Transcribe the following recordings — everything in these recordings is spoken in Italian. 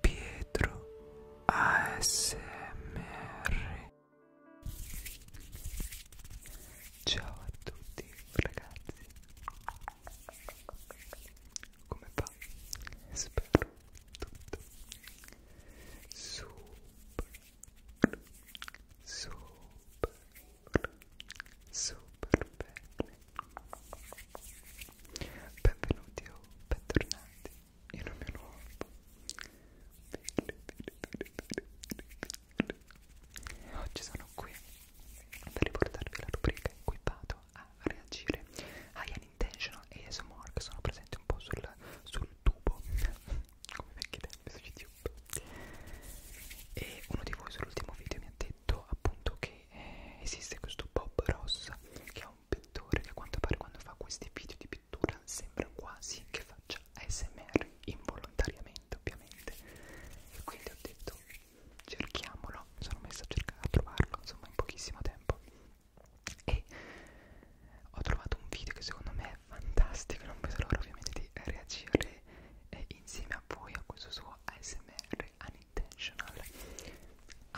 Pietro ASMR Ciao a tutti ragazzi Come va? Spero tutto super super super bene Benvenuti o bentornati in un mio nuovo video. Oggi sono qui per riportarvi la rubrica in cui vado a reagire ai Unintentional ASMR che sono presenti un po' sul, sul tubo, come vecchi tempi su YouTube. E uno di voi sull'ultimo video mi ha detto detto appunto che eh, esiste questo Bob Ross che è un pittore che a quanto pare quando fa questi video di pittura sembra quasi che faccia ASMR involontariamente ovviamente e quindi ho detto cerchiamolo, mi sono messa a cercare a trovarlo insomma in pochissimo tempo e ho trovato un video che secondo me è fantastico non vedo l'ora ovviamente di reagire eh, insieme a voi a questo suo ASMR anni intentional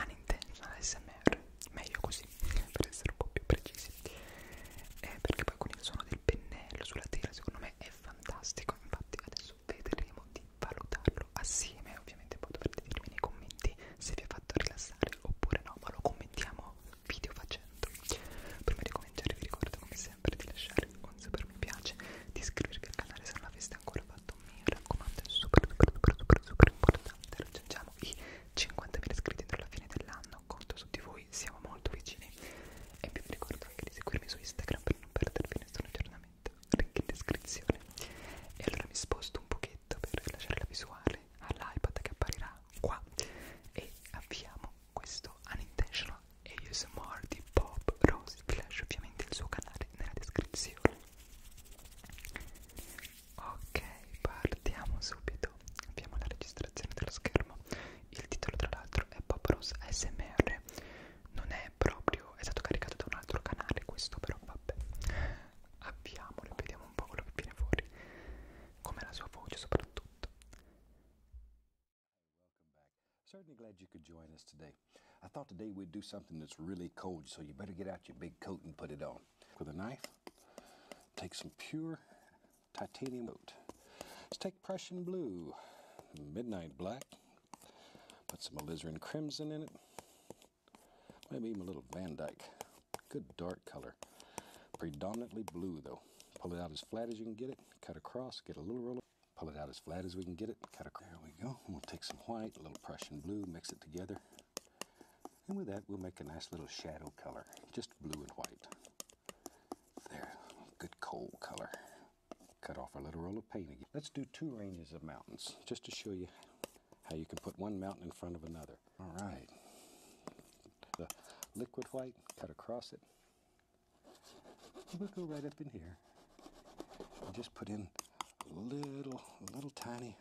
unintentional smr meglio così per essere un po' più precisi eh, perché poi con il suono del pennello sulla tela secondo me è fantastico infatti adesso vedremo di valutarlo assieme ovviamente poi dovrete dirmi nei commenti se vi ha fatto rilassare oppure no ma lo commentiamo video facendo prima di cominciare vi ricordo come sempre di lasciare un super mi piace di iscrivervi al canale se non l'aveste ancora fatto mi raccomando è super super super super super importante raggiungiamo i 50.000 iscritti entro la fine dell'anno conto su di voi siamo molto vicini e vi ricordo anche di seguirmi su Instagram per non perdervi nessun aggiornamento link in descrizione e allora mi sposto un pochetto per rilasciare la visuale all'iPad che apparirà qua e avviamo questo unintentional ASMR di Bob Rose vi lascio ovviamente il suo canale nella descrizione Ok, partiamo subito. Abbiamo la registrazione dello schermo. Il titolo, tra l'altro, è Pop Rose ASMR. Non è proprio. è stato caricato da un altro canale, questo, però vabbè. Avviamolo e vediamo un po' quello che viene fuori. Come la sua voce, soprattutto. Certainly glad you could join us today. I thought today we'd do something that's really cold, so you better get out your big coat and put it on. With a knife, take some pure titanium out. Let's take Prussian blue, midnight black, put some alizarin crimson in it, maybe even a little Van Dyke. Good dark color. Predominantly blue though. Pull it out as flat as you can get it, cut across, get a little roll pull it out as flat as we can get it. Cut across. There we go. We'll take some white, a little Prussian blue, mix it together. And with that, we'll make a nice little shadow color, just blue and white. There, good coal color. Cut off our little roll of paint again. Let's do two ranges of mountains, just to show you how you can put one mountain in front of another. All right. The liquid white, cut across it. We'll go right up in here here. just put in a little, little tiny,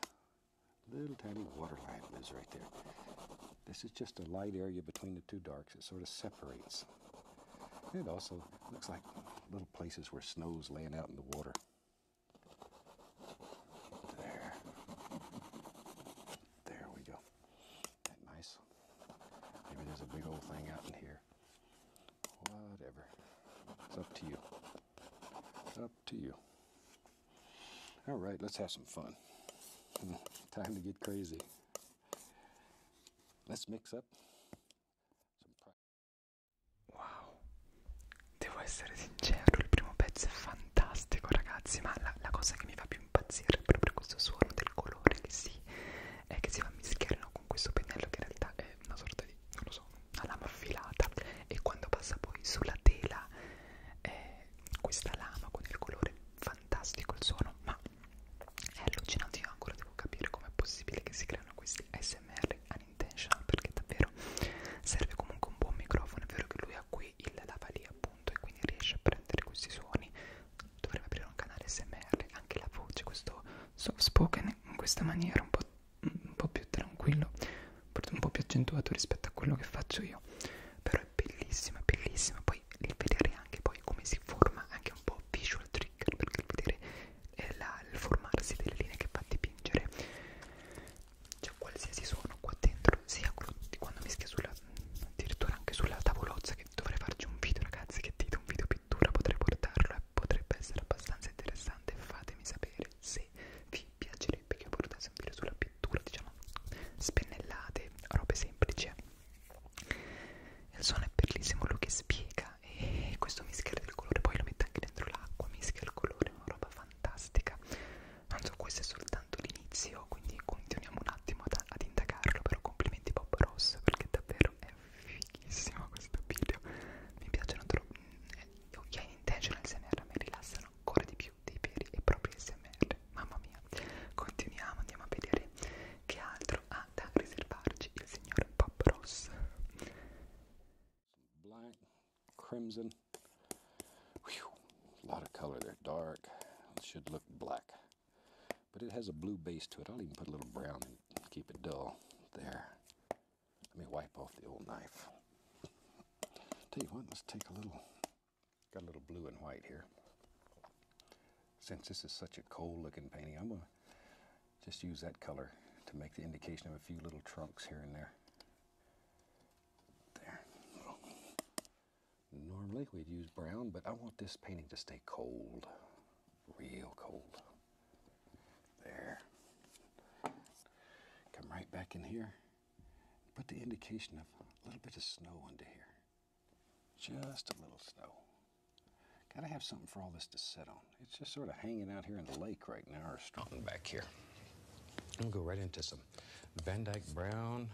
little tiny water line lives right there. This is just a light area between the two darks. It sort of separates. it also looks like little places where snow's laying out in the water. There. There we go. nice? Maybe there's a big old thing out in here. here. Whatever. It's up to you. Up to you. All right, let's have some fun. Time to get crazy. Let's mix up some Wow. Devo essere sincero, il primo pezzo è fantastico, ragazzi, ma la, la cosa che mi fa più impazzire è proprio questo suono del colore che si eh, che si va a mischiare con questo pennello che in realtà è una sorta di, non lo so, una lama affilata e quando passa poi sulla tela eh, questa lama con il colore fantastico, il suono, ma è allucinante, io ancora devo capire com'è possibile che si creano questi SMR unintentional perché davvero serve comunque un buon microfono, è vero che lui ha qui il lavalier appunto e quindi riesce a prendere questi suoni, dovrebbe aprire un canale SMR, anche la voce, questo soft spoken in questa maniera un po', un po' più tranquillo un po' più accentuato rispetto a quello che faccio io però è bellissimo, è bellissimo poi vedere anche poi come si forma anche un po' visual trigger perché vedere eh, la, il formarsi delle linee che fa dipingere cioè qualsiasi suono qua dentro sia quello di quando mischia sulla addirittura anche sulla tavolozza che dovrei farci un video ragazzi che dite un video pittura potrei portarlo e potrebbe essere abbastanza interessante fatemi sapere se vi piacerebbe che portassi un video sulla pittura diciamo spennellate robe semplici il suono è bellissimo lui che spiega e questo mischia del colore poi lo mette anche dentro l'acqua mischia il colore una roba fantastica non so questo è soltanto l'inizio quindi continuiamo un attimo ad, ad indagarlo però complimenti Bob Ross perché davvero davvero è fighissimo questo video mi piacciono troppo mm, gli eh, occhiali intentional SMR mi rilassano ancora di più dei veri e propri SMR mamma mia continuiamo andiamo a vedere che altro ha da riservarci il signor Pop Ross black crimson Whew, a lot of color there dark should look black but it has a blue base to it. I'll even put a little brown and keep it dull. There. Let me wipe off the old knife. Tell you what, let's take a little, got a little blue and white here. Since this is such a cold looking painting, I'm gonna just use that color to make the indication of a few little trunks here and there. There. Normally we'd use brown, but I want this painting to stay cold, real cold. There. Come right back in here. Put the indication of a little bit of snow under here. Just a little snow. Gotta have something for all this to sit on. It's just sort of hanging out here in the lake right now or something back here. I'll go right into some Van Dyke Brown.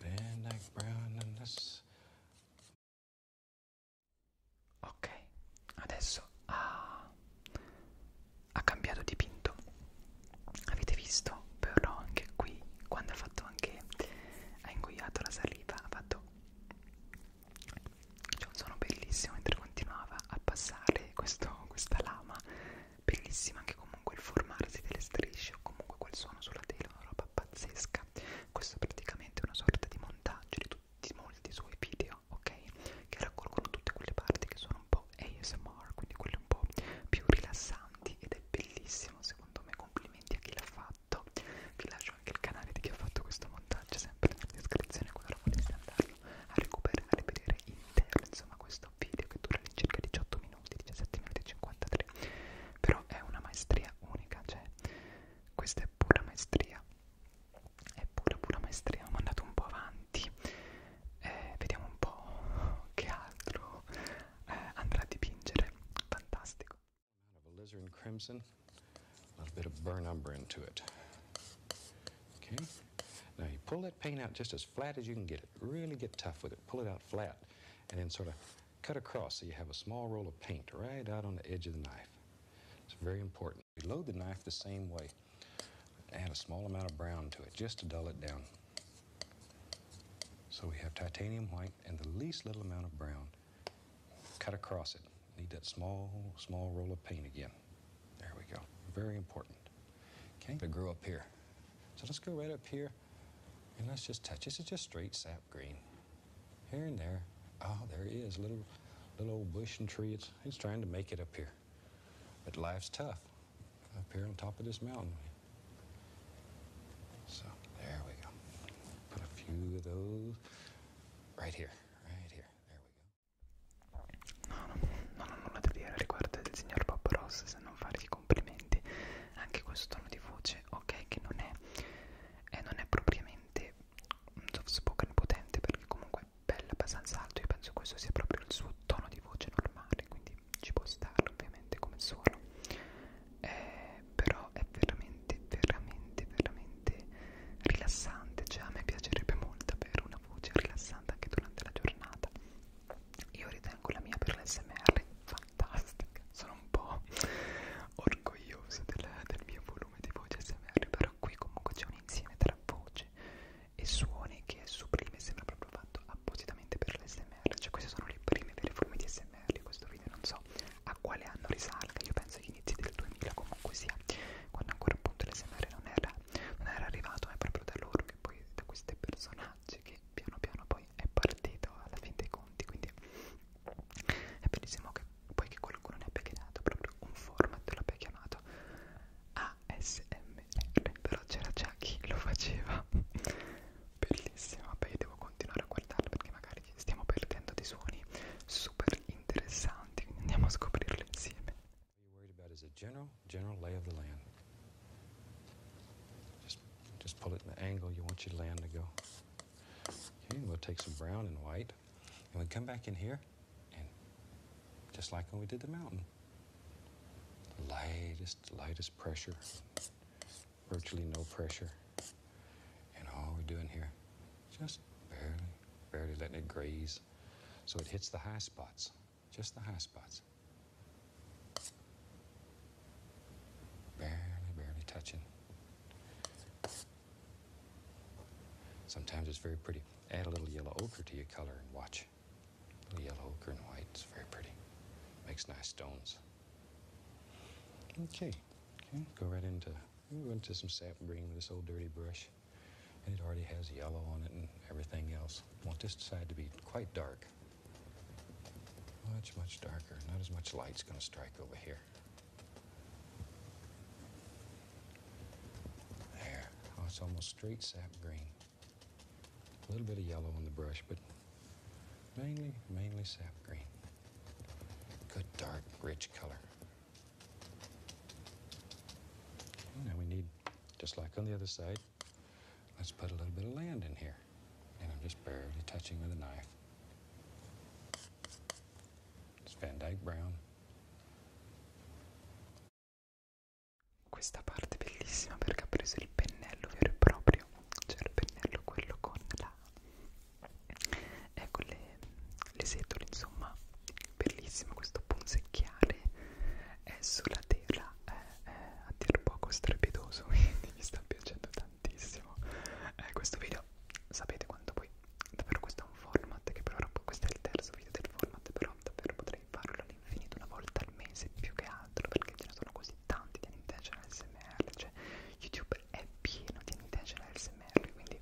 Van Dyke Brown, and this. ok adesso ha, ha cambiato dipinto avete visto però anche qui quando ha fatto anche ha ingoiato la saliva ha fatto c'è un suono bellissimo mentre continuava a passare questo, questa lama bellissima anche comunque il formarsi delle strisce o comunque quel suono sulla tela una roba pazzesca questo è praticamente una sorta di montaggio di tutti molti suoi video ok che raccolgono tutte quelle parti che sono un po' ASMR quindi quelle un po' più rilassanti ed è bellissimo secondo me complimenti a chi l'ha fatto vi lascio anche il canale di chi ha fatto questo montaggio sempre nella descrizione qualora voleste andarlo a recuperare vedere intero insomma questo video che dura all'incirca 18 minuti 17 minuti e 53 però è una maestria unica cioè questa è pura maestria è pura pura maestria ho mandato un po' avanti eh, vediamo un po' che altro eh, andrà a dipingere fantastico a lizard crimson a little bit of burn umber into it okay now you pull that paint out just as flat as you can get it really get tough with it pull it out flat and then sort of Cut across so you have a small roll of paint right out on the edge of the knife. It's very important. We load the knife the same way. Add a small amount of brown to it just to dull it down. So we have titanium white and the least little amount of brown. Cut across it. Need that small, small roll of paint again. There we go. Very important. Okay, to grow up here. So let's go right up here and let's just touch. This is just straight sap green. Here and there, oh, there he is, little, little old bush and tree. It's, it's trying to make it up here. But life's tough up here on top of this mountain. So there we go. Put a few of those right here. Right here. There we go. No, no, nulla da dire riguardo del signor Bob Ross se non fargli complimenti. Anche questo tono di voce, ok, che non è e non è propriamente un soft spoken potente perché comunque è bella abbastanza alto io penso questo sia proprio il suo tono di voce normale quindi ci può stare ovviamente come suono eh, però è veramente veramente veramente rilassante cioè a me piacerebbe molto avere una voce rilassante anche durante la giornata io ritengo la mia per l'SMR fantastica sono un po' orgoglioso del, del mio volume di voce smr però qui comunque c'è un insieme tra voce e suoni che è sublime sembra proprio fatto appositamente per l'SMR cioè queste sono le prime vere forme di smr questo video non so a quale anno risalga io penso agli inizi del 2000 comunque sia quando ancora appunto l'SMR non era, non era arrivato ma è proprio da loro che poi da questi personaggi che piano piano poi è partito alla fine dei conti quindi è bellissimo che poi che qualcuno ne abbia chiamato proprio un format l'abbia chiamato ASMR però c'era già chi lo faceva bellissimo vabbè io devo continuare a guardarlo perché magari ci stiamo perdendo dei suoni super interessanti quindi andiamo a scoprirlo insieme general, general lay of the land. Just, just pull it in the angle you want your land to go. Okay, we'll take some brown and white. And we come back in here, and just like when we did the mountain, lightest, lightest pressure, virtually no pressure. And all we're doing here, just barely, barely letting it graze. So it hits the high spots, just the high spots. Barely, barely touching. Sometimes it's very pretty. Add a little yellow ochre to your color and watch. yellow ochre and white, it's very pretty. Makes nice stones. Okay, okay, go right into, into some sap green with this old dirty brush. And it already has yellow on it and everything else. Want this side to be quite dark. Much, much darker. Not as much light's gonna strike over here. There. Oh, it's almost straight sap green. A little bit of yellow in the brush, but mainly, mainly sap green. Good dark, rich color. Now we need, just like on the other side, let's put a little bit of land in here. And I'm just barely touching with a knife. It's Van Dyke Brown. Questa parte è bellissima perché ha preso il pennello vero e proprio, cioè il pennello quello con la... ecco le, le setole, insomma, bellissimo questo punzecchiare è sulla tela, è, è a dir poco strepidoso, quindi mi sta piacendo tanto tantissimo eh, questo video sapete quanto poi davvero questo è un format che però questo è il terzo video del format però davvero potrei farlo all'infinito una volta al mese più che altro perché ce ne sono così tanti di intentional smr cioè youtube è pieno di intentional smr quindi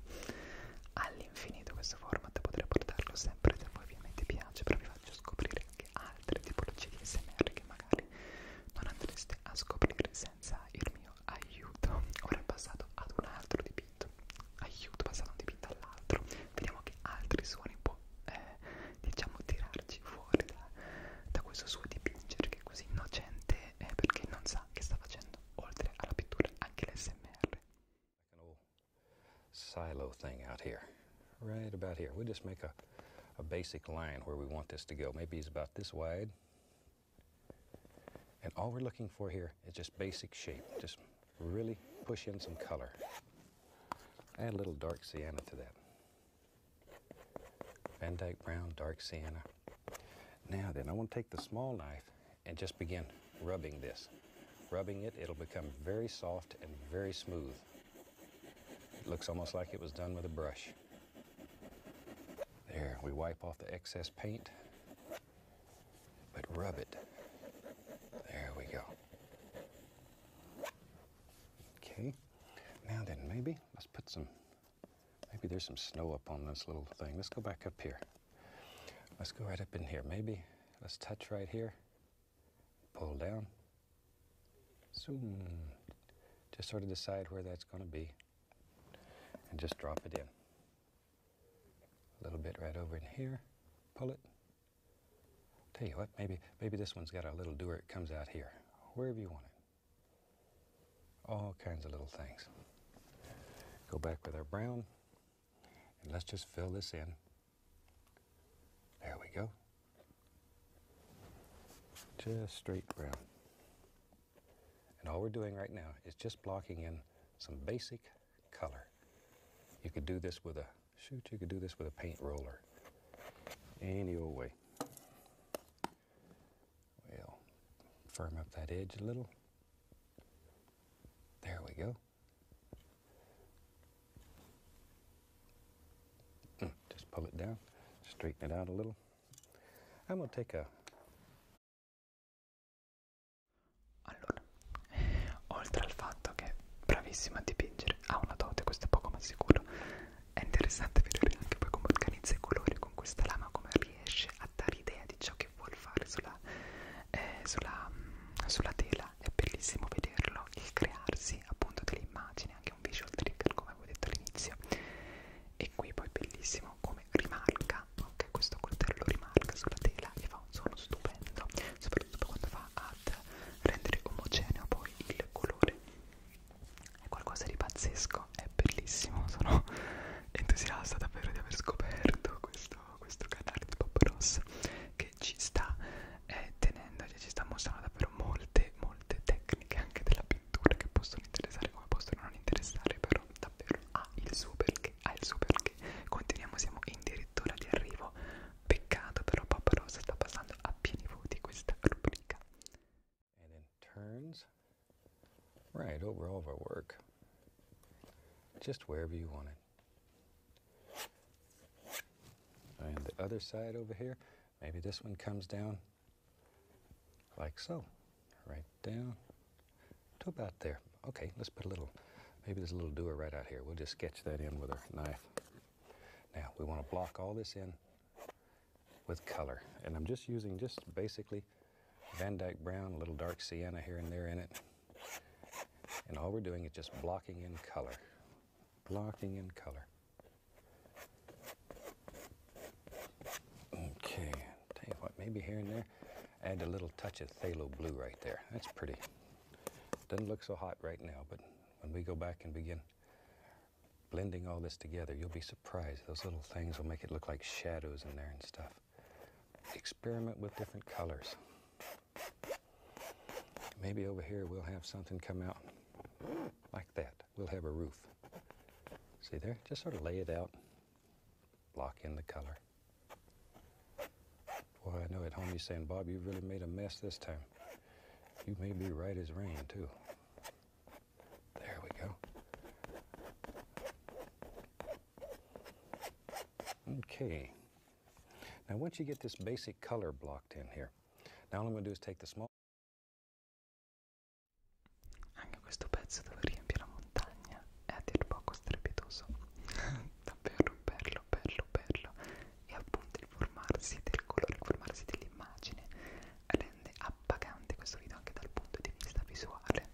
all'infinito questo format potrei portarlo sempre se poi ovviamente piace però vi faccio scoprire anche altre tipologie di smr che magari inutili non andreste a scoprire senza il mio aiuto ora è passato ad un altro dipinto aiuto passato da un dipinto all'altro vediamo che altri suoni può eh, diciamo tirarci fuori da, da questo suo dipingere che è così innocente eh, perché non sa che sta facendo oltre alla pittura anche l'SMR silo thing out here right about here we just make a a basic line where we want this to go. Maybe it's about this wide. And all we're looking for here is just basic shape, just really push in some color. Add a little dark sienna to that. Van Dyke Brown, dark sienna. Now then, I want to take the small knife and just begin rubbing this. Rubbing it, it'll become very soft and very smooth. It looks almost like it was done with a brush. There, we wipe off the excess paint, but rub it. There we go. Okay, now then, maybe let's put some, maybe there's some snow up on this little thing. Let's go back up here. Let's go right up in here. Maybe let's touch right here, pull down, Zoom. Hmm, just sort of decide where that's going to be and just drop it in. A little bit right over in here. Pull it. Tell you what, maybe, maybe this one's got a little doer. It comes out here, wherever you want it. All kinds of little things. Go back with our brown and let's just fill this in. There we go. Just straight brown. And all we're doing right now is just blocking in some basic color. You could do this with a, shoot, you could do this with a paint roller. Any old way. we firm up that edge a little. There we go. Mm, just pull it down, straighten it out a little. I'm gonna take a Allora, oltre al fatto che è bravissima a dipingere, ha una dote, questo è poco ma sicuro. È interessante vedere anche poi come organizza i colori con questa lama, come riesce a dare idea di ciò che vuol fare sulla, eh, sulla, mm, sulla tela. È bellissimo vederlo, il crearsi utilizzi appunto delle immagini, anche un visual trigger come avevo detto all'inizio. E qui poi bellissimo come rimarca, ok? Questo coltello rimarca sulla tela e fa un suono stupendo, soprattutto quando va ad rendere omogeneo poi il colore. È qualcosa di pazzesco, è bellissimo, sono entusiasta davvero di aver scoperto questo, questo canale di Pop Ross che ci sta eh, tenendo, cioè ci sta mostrando davvero molte, molte molte tecniche anche della pittura che possono interessare come possono non interessare però davvero ha il suo perché ha il suo perché continuiamo siamo addirittura di arrivo peccato però Papa Rosa sta passando a pieni voti questa rubrica And in turns right over all of our work just wherever you want it and the other side over here Maybe this one comes down like so, right down to about there. Okay, let's put a little, maybe there's a little doer right out here. We'll just sketch that in with our knife. Now, we want to block all this in with color. And I'm just using just basically Van Dyke Brown, a little dark sienna here and there in it. And all we're doing is just blocking in color. Blocking in color. Okay, tell you what, maybe here and there, add a little touch of phthalo blue right there. That's pretty. Doesn't look so hot right now, but when we go back and begin blending all this together, you'll be surprised. Those little things will make it look like shadows in there and stuff. Experiment with different colors. Maybe over here we'll have something come out like that. We'll have a roof. See there? Just sort of lay it out, Lock in the color. Boy, I know at home you're saying, Bob, you really made a mess this time. You may be right as rain, too. There we go. Okay. Now, once you get this basic color blocked in here, now all I'm going to do is take the small Anche questo pezzo dove riempie la montagna è a dir poco strepitoso. Davvero bello, bello, bello. E appunto il formarsi del colore, il formarsi dell'immagine rende appagante questo video anche dal punto di vista visuale.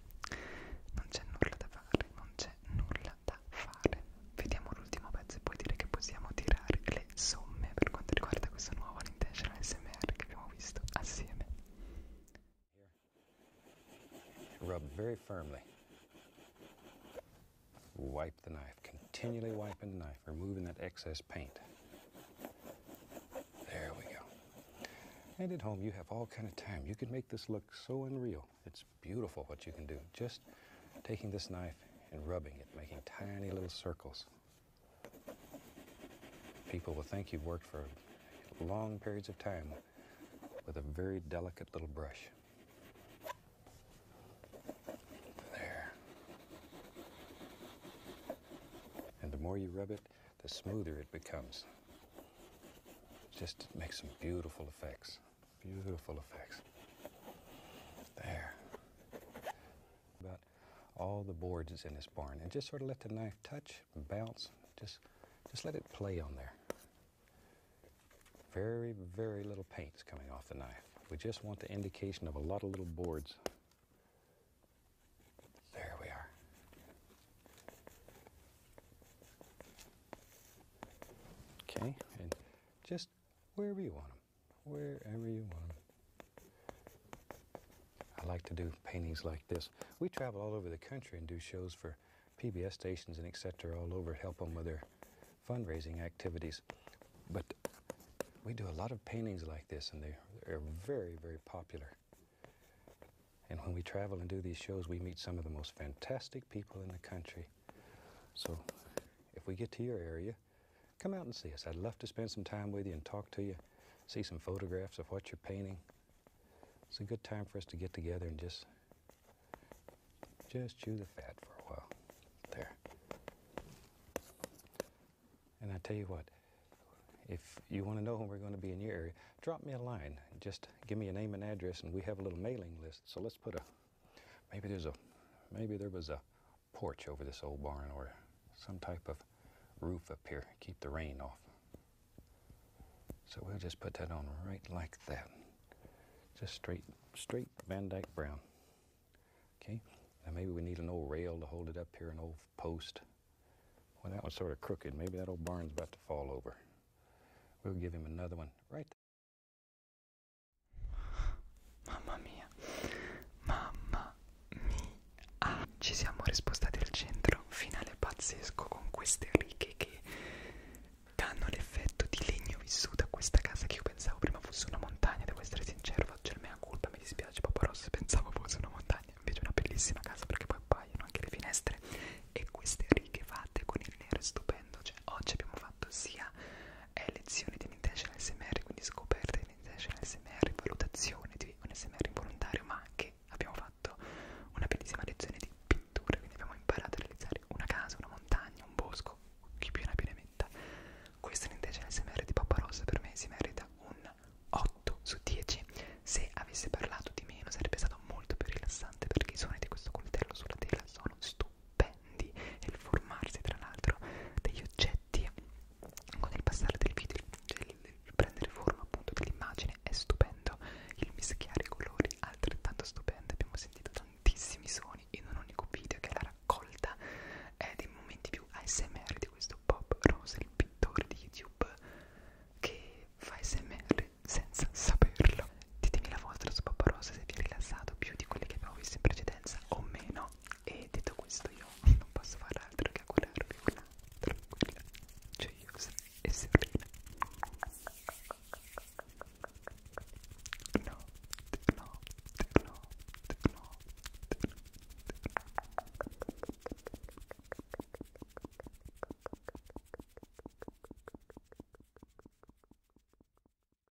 Non c'è nulla da fare, non c'è nulla da fare. Vediamo l'ultima Rub very firmly. Wipe the knife. Continually wiping the knife, removing that excess paint. There we go. And at home you have all kind of time. You can make this look so unreal. It's beautiful what you can do. Just taking this knife and rubbing it, making tiny little circles. People will think you've worked for long periods of time with a very delicate little brush. There. And the more you rub it, the smoother it becomes. Just makes some beautiful effects. Beautiful effects. There about all the boards that's in this barn and just sort of let the knife touch, bounce, just, just let it play on there. Very, very little paint is coming off the knife. We just want the indication of a lot of little boards. There we are. Okay, and just wherever you want them wherever you want. I like to do paintings like this. We travel all over the country and do shows for PBS stations and etc. all over, help them with their fundraising activities. But we do a lot of paintings like this, and they are very, very popular. And when we travel and do these shows, we meet some of the most fantastic people in the country. So if we get to your area, come out and see us. I'd love to spend some time with you and talk to you, see some photographs of what you're painting. It's a good time for us to get together and just just chew the fat for a while. There. And I tell you what, if you want to know when we're going to be in your area, drop me a line. Just give me a name and address, and we have a little mailing list. So let's put a, maybe there's a, maybe there was a porch over this old barn or some type of roof up here, keep the rain off. So we'll just put that on right like that. Just straight, straight Van Dyke brown. Okay, now maybe we need an old rail to hold it up here, an old post. Well, that one's sort of crooked. Maybe that old barn's about to fall over. We'll give him another one right Mamma mia, mamma mia, ci siamo rispostati al centro, finale pazzesco con queste righe che danno l'effetto di legno vissuto a questa casa che io pensavo prima fosse una montagna, devo essere sincero, faccio il mea colpa, mi dispiace Papa Ross, pensavo fosse una montagna, invece è una bellissima casa perché poi appaiono anche le finestre e queste righe fatte con il nero è stupendo, cioè oggi abbiamo fatto sia è lezioni di Intentional SMR, quindi scoperte di Intentional SMR, valutazione di un SMR involontario, ma anche abbiamo fatto una bellissima lezione di pittura, quindi abbiamo imparato a realizzare una casa, una montagna, un bosco, chi più ne più ne metta. Questo Intentional SMR di Paparossa per me si merita un 8 su 10. Se avesse parlato di meno sarebbe stato molto più rilassante perché i suoni di questo coltello sulla tela sono stupidi appendi e il formarsi tra l'altro degli oggetti con il passare del video, cioè il, il prendere forma appunto dell'immagine è stupendo, il mischiare i colori altrettanto stupendo, abbiamo sentito tantissimi suoni in un unico video che è la raccolta è eh, dei momenti più ASMR di questo Bob Rose, il pittore di YouTube che fa ASMR senza saperlo. Ditemi la vostra su Bob Rose se vi è rilassato più di quelli che avevo visto in precedenza consistenza o meno e detto questo io non posso fare altro che augurarvi una tranquilla gioiosa e serena no no no no no